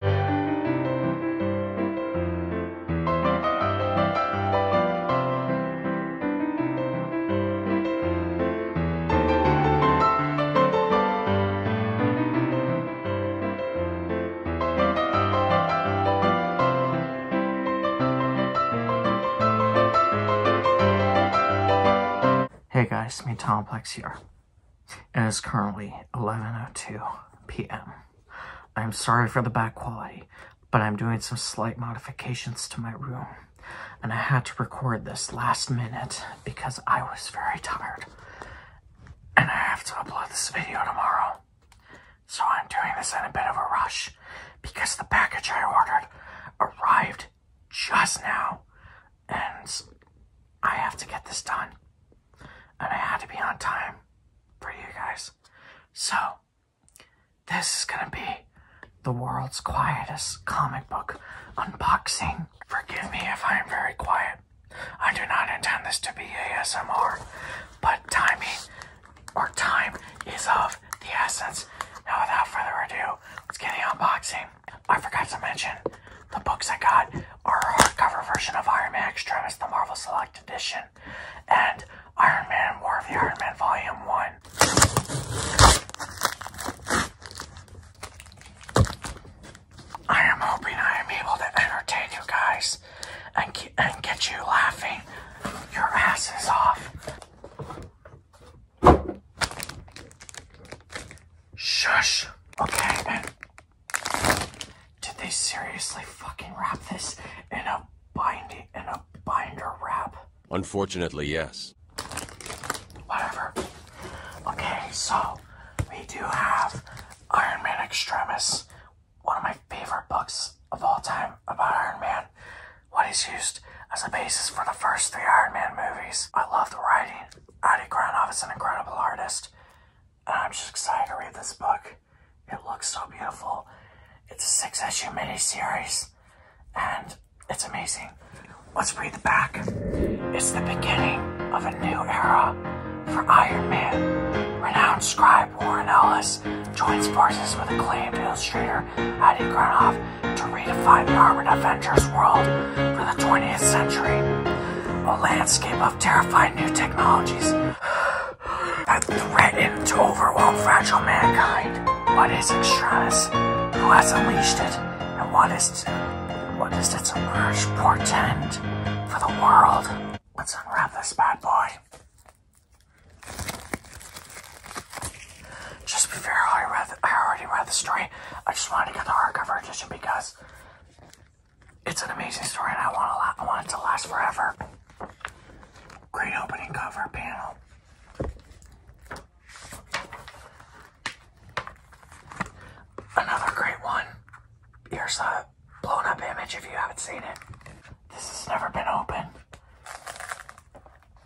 Hey guys, me Tomplex here and it's currently 11.02 p.m. I'm sorry for the bad quality, but I'm doing some slight modifications to my room, and I had to record this last minute because I was very tired, and I have to upload this video tomorrow. So I'm doing this in a bit of a rush because the package I ordered arrived just now and I have to get this done. And I had to be on time for you guys. So, this is gonna be the world's quietest comic book unboxing. Forgive me if I am very quiet. I do not intend this to be ASMR, but timing or time is of the essence. Now, without further ado, let's get the unboxing. I forgot to mention the books I got are a hardcover version of Iron Man Extremis, the Marvel Select Edition, and Iron Man War of the Iron Man Volume 1. I am hoping I am able to entertain you guys and, and get you laughing your asses off. Shush. Okay, did they seriously fucking wrap this in a binding in a binder wrap? Unfortunately, yes. Whatever. Okay, so we do have Iron Man Extremis, one of my favorite books of all time about Iron Man. What he's used as a basis for the first three Iron Man movies. I love the writing. Adi Granov is an incredible artist, and I'm just excited to read this book. It looks so beautiful. It's a six issue mini-series, and it's amazing. Let's read the back. It's the beginning of a new era for Iron Man. Renowned scribe Warren Ellis joins forces with acclaimed illustrator Jr., Heidi Granoff, to redefine urban Avengers world for the 20th century. A landscape of terrifying new technologies that threaten to overwhelm fragile mankind. What is Extremis? Who has unleashed it? And what is what does its emerge portend for the world? Let's unwrap this bad boy. Just before I read, the, I already read the story. I just wanted to get the hardcover edition because it's an amazing story, and I want to, I want it to last forever. Great opening cover panel. Another great one. Here's a blown up image if you haven't seen it. This has never been open.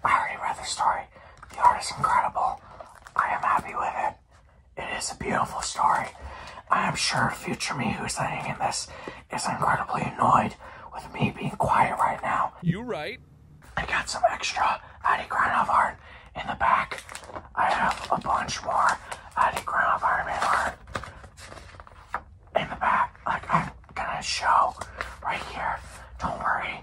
I already read the story. The art is incredible. I am happy with it. It is a beautiful story. I am sure future me who's living in this is incredibly annoyed with me being quiet right now. You right. I got some extra Adi Granov art in the back. I have a bunch more Adi Granov Iron Man art in the back. Like, I'm gonna show right here. Don't worry.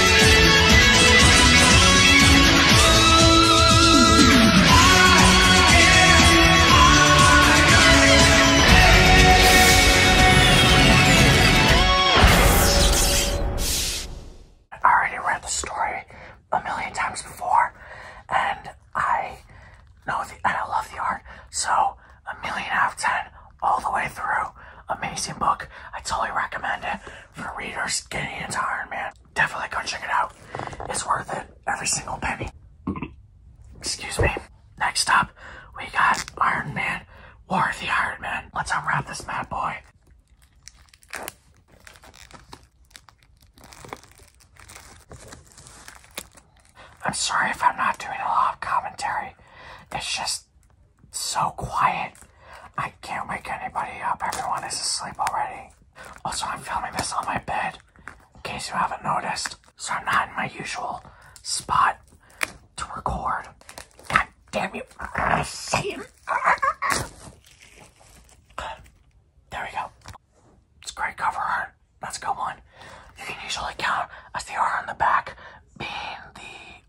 I I already read the the. story a million times before, and love art So a million out of ten all the way through amazing book. I totally recommend it for readers getting into Iron Man. Definitely go check it out. It's worth it, every single penny. Excuse me. Next up, we got Iron Man, War of the Iron Man. Let's unwrap this mad boy. I'm sorry if I'm not doing a lot of commentary. It's just so quiet. I can't wake anybody up. Everyone is asleep already. Also, I'm filming this on my bed, in case you haven't noticed. So I'm not in my usual spot to record. God damn you. Satan. Good. There we go. It's great cover art. That's a good one. You can usually count as the R on the back being the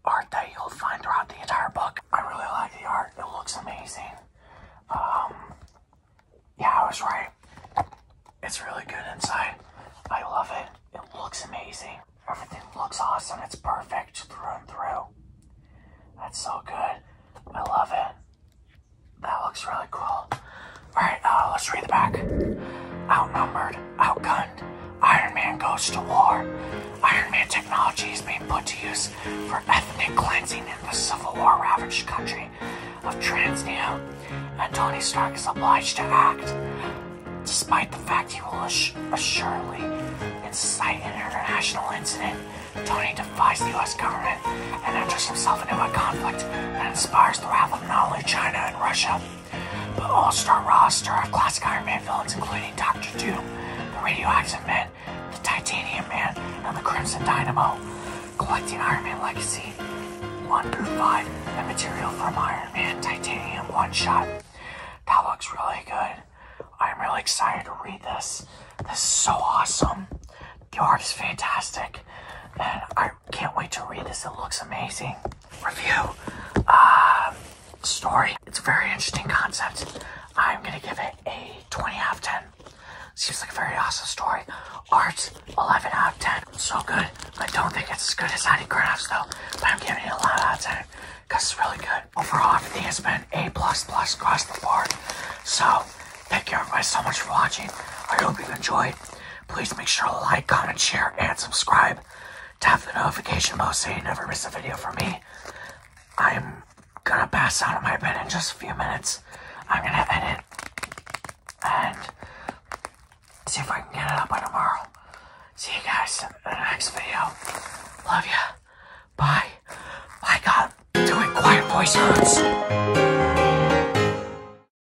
art that you'll find throughout the entire book. I really like the art. It looks amazing. Um, yeah, I was right. It's really good inside. I love it. It looks amazing. Everything looks awesome. It's perfect through and through. That's so good. I love it. That looks really cool. Alright, uh, let's read the back. Outnumbered, outgunned Iron Man goes to war. Iron Man technology is being put to use for ethnic cleansing in the Civil War ravaged country of Transnea, and Tony Stark is obliged to act, despite the fact he will ass assuredly incite an international incident. Tony defies the US government and enters himself into a conflict that inspires the wrath of not only China and Russia, the all-star roster of classic Iron Man villains including Doctor Doom, the Radioactive Man, the Titanium Man, and the Crimson Dynamo. Collecting Iron Man Legacy 1 through 5 and material from Iron Man Titanium One Shot. That looks really good. I'm really excited to read this. This is so awesome. The art is fantastic. And I can't wait to read this. It looks amazing. Review. Uh, story. It's a very interesting concept. I'm going to give it a 20 out of 10. Seems like a very awesome story. Art, 11 out of 10. So good. I don't think it's as good as Annie Graphs though, but I'm giving it a lot out of 10 because it's really good. Overall, everything has been A++ across the board. So, thank you guys so much for watching. I hope you enjoyed please make sure to like, comment, share, and subscribe. Tap the notification bell so you never miss a video from me. I'm gonna pass out of my bed in just a few minutes. I'm gonna edit and see if I can get it up by tomorrow. See you guys in the next video. Love ya. Bye. My God, doing quiet voice